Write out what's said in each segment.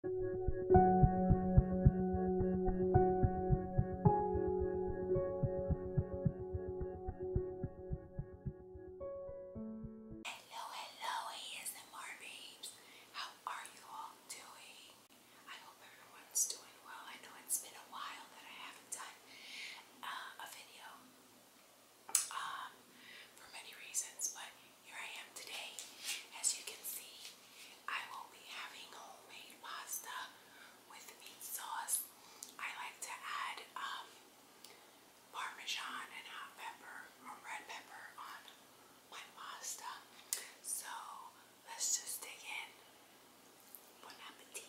Hello, hello, ASMR babes. How are you all doing? I hope everyone's doing well. I know it's been a while that I haven't done uh, a video um, for many reasons, but here I am today. As you can see, I will be having homemade pasta with meat sauce. I like to add um, parmesan and hot pepper or red pepper on my pasta. So let's just dig in. Bon appetit.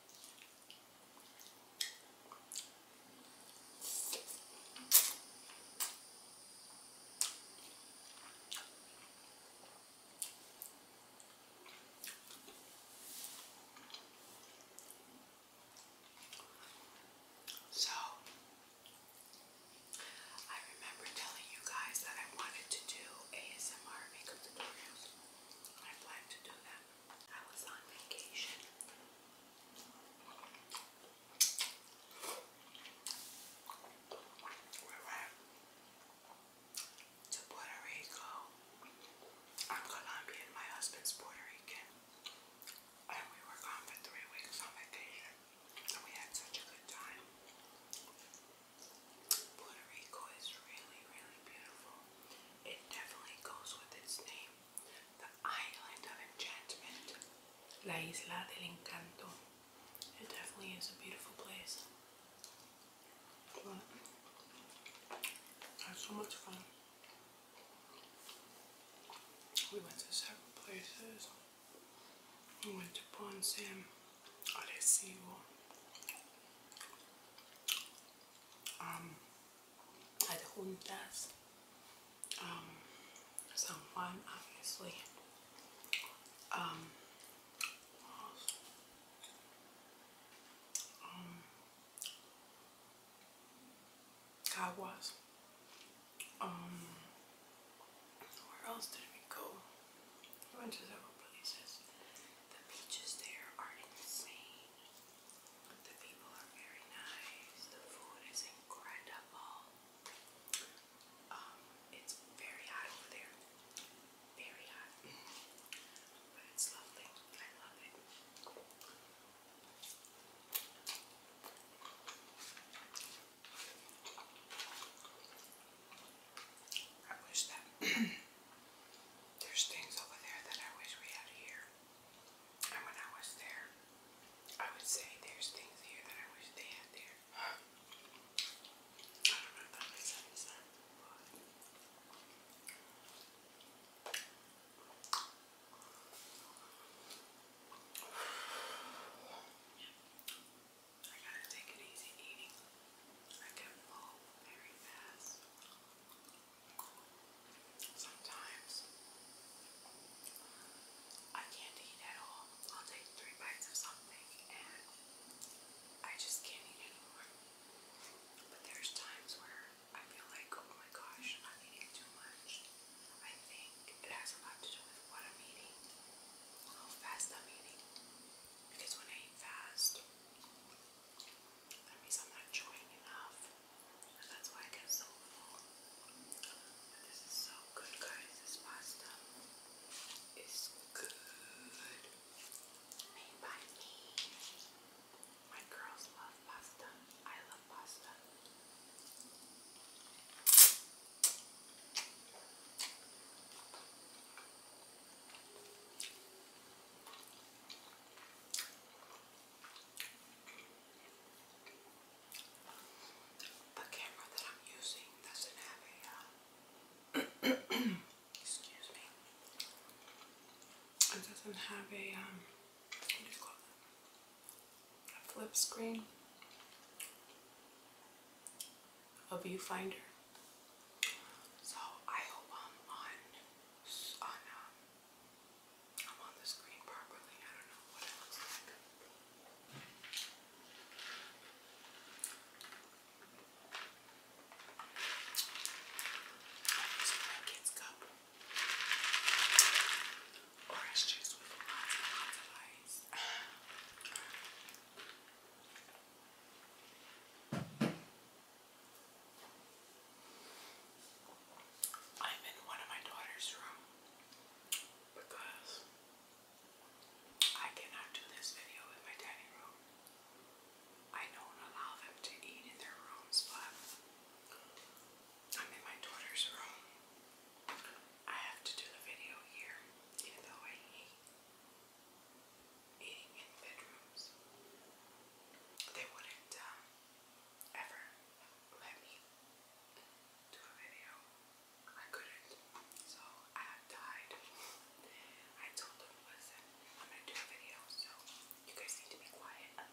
So, I remember telling you guys that I wanted to do ASMR makeup tutorials i like to do that. I was on vacation. We went to Puerto Rico. I'm Colombian, my husband's Puerto Rican. And we were gone for three weeks on vacation. And we had such a good time. Puerto Rico is really, really beautiful. It definitely goes with its name. The Island of Enchantment. La Isla del Encanto. It definitely is a beautiful place. We had so much fun. We went to several places. We went to Ponce. Alessio. Um, adjuntas, um, San Juan, obviously, um, um, Caguas, um, where else did we go? I went to several places. The beaches there are insane. The people are very nice. The food is incredible. Um, it's very hot over there. Very hot. But it's lovely. I love it. I wish that there's things over there that I wish we had here. And when I was there, I would say there's things here that I wish they had there. I don't know if that makes any sense, I gotta take it easy eating. I can fall very fast. Sometimes I can't eat at all. I'll take three bites of something and I just can't eat anymore. But there's times where I feel like, oh my gosh, I'm eating too much. I think it has a lot to do with what I'm eating, how fast I'm eating. Because when I eat fast, that I'm not enjoying enough. And that's why I get so full. But this is so good, guys. This pasta is good. Made by me. My girls love pasta. I love pasta. The camera that I'm using doesn't have a, excuse me, it doesn't have a, um, a flip screen a viewfinder. So I hope I'm on um, I'm on the screen properly. I don't know what it looks like. This is my kid's with lots of ice. I'm in one of my daughter's room because I cannot do this video in my dining room. I don't allow them to eat in their rooms, but I'm in my daughter's room. I have to do the video here, even though I hate eating in bedrooms. They wouldn't um, ever let me do a video. I couldn't. So I died. I told them, listen, I'm gonna do a video, so you guys need to be quiet.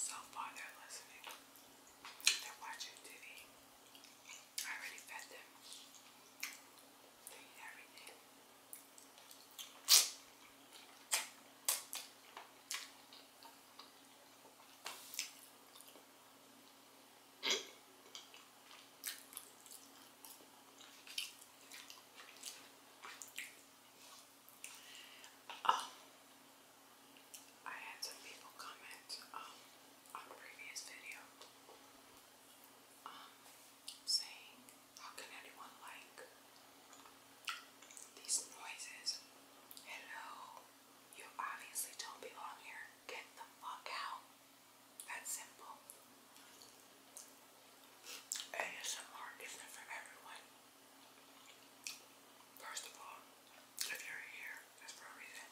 So far, they're listening. They're watching TV. I already fed them. They eat everything. Um, I had some people comment um, on previous video um, saying, how can anyone like these noises? Hello, you obviously don't belong here. Get the fuck out. That's simple. ASMR isn't for everyone. First of all, if you're here, it's for a reason.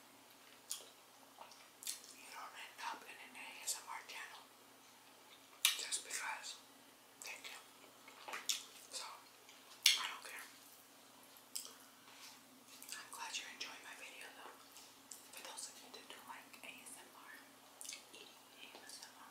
You don't end up in an ASMR channel just because. Thank you. So, I don't care. I'm glad you're enjoying my video though. For those of you that do like ASMR, eating ASMR.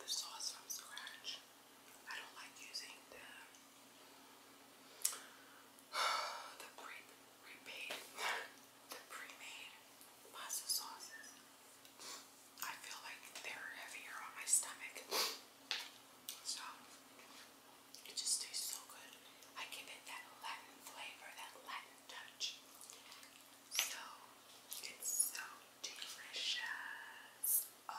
the sauce from scratch. I don't like using the pre prepaid the pre-made pasta sauces. I feel like they're heavier on my stomach. So it just tastes so good. I give it that Latin flavor, that Latin touch. So it's so delicious. Oh.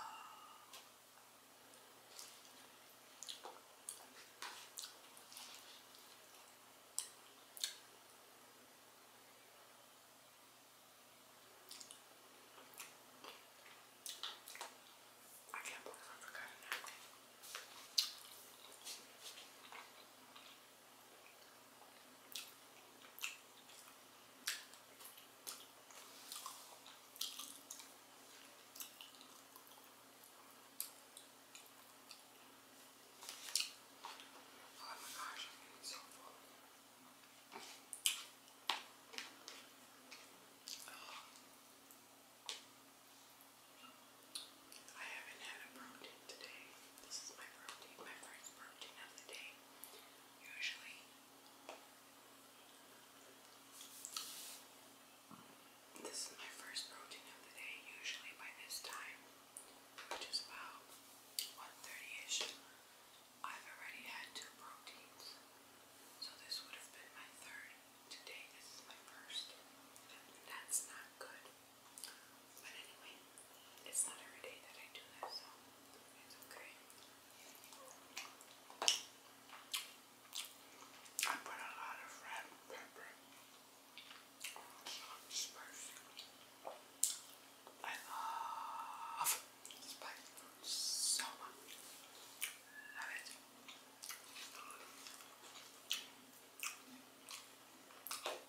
I can't believe I forgot a Oh my gosh, I'm getting so full. I haven't had a protein today. This is my protein, my first protein of the day, usually. This is my first protein of the day, usually by this time, which is about 1.30ish. I've already had two proteins, so this would have been my third. Today, this is my first, that's not good. But anyway, it's not every day that I do that, so it's okay. I put a lot of red pepper. Spicy. I love spicy so much. Love it.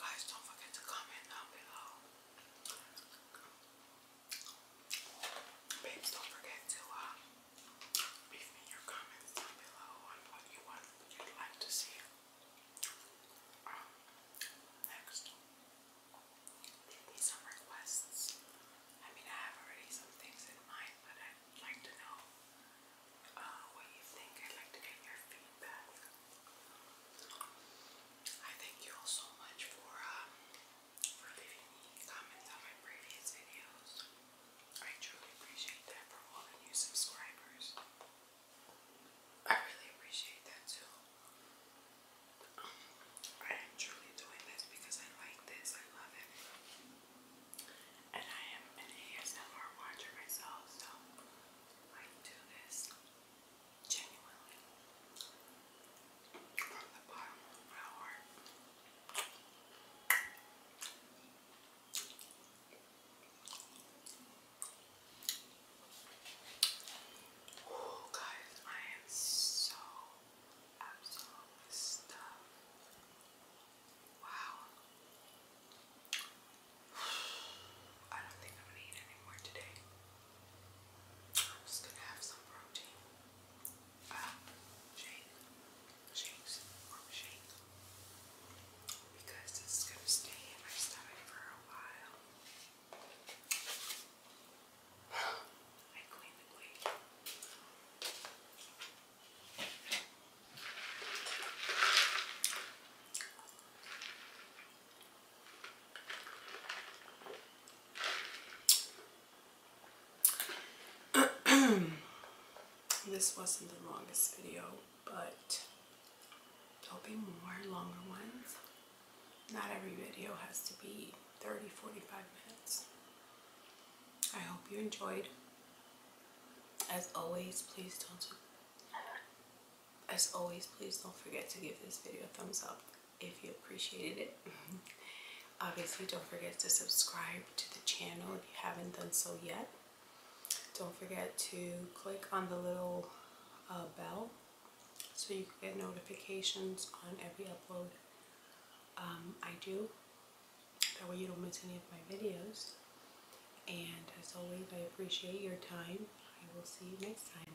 Guys, don't forget to comment down below. Babes, don't forget to uh, leave me your comments down below on what you want, you'd like to see next, there be some requests. I mean, I have already some things in mind, but I'd like to know uh, what you think. I'd like to get your feedback. I thank you all so much for um, for leaving me comments on my previous videos. I truly appreciate that for all the new subscribers. I really appreciate that too. I am truly doing this because I like this. I love it. And I am an ASMR watcher myself, so I do this genuinely from the bottom of my heart. Oh, guys, I am so absolutely stuffed. Wow. I don't think I'm gonna eat anymore today. I'm just gonna have some protein. Uh, shake. shake because this is going to stay in my stomach for a while. I clean the plate. this wasn't the longest video but there'll be more longer ones. Not every video has to be 30 45 minutes. I hope you enjoyed. As always, please don't as always, please don't forget to give this video a thumbs up if you appreciated it. Obviously, don't forget to subscribe to the channel if you haven't done so yet. Don't forget to click on the little uh, bell so you can get notifications on every upload um, I do. That way you don't miss any of my videos. And as always, I appreciate your time. I will see you next time.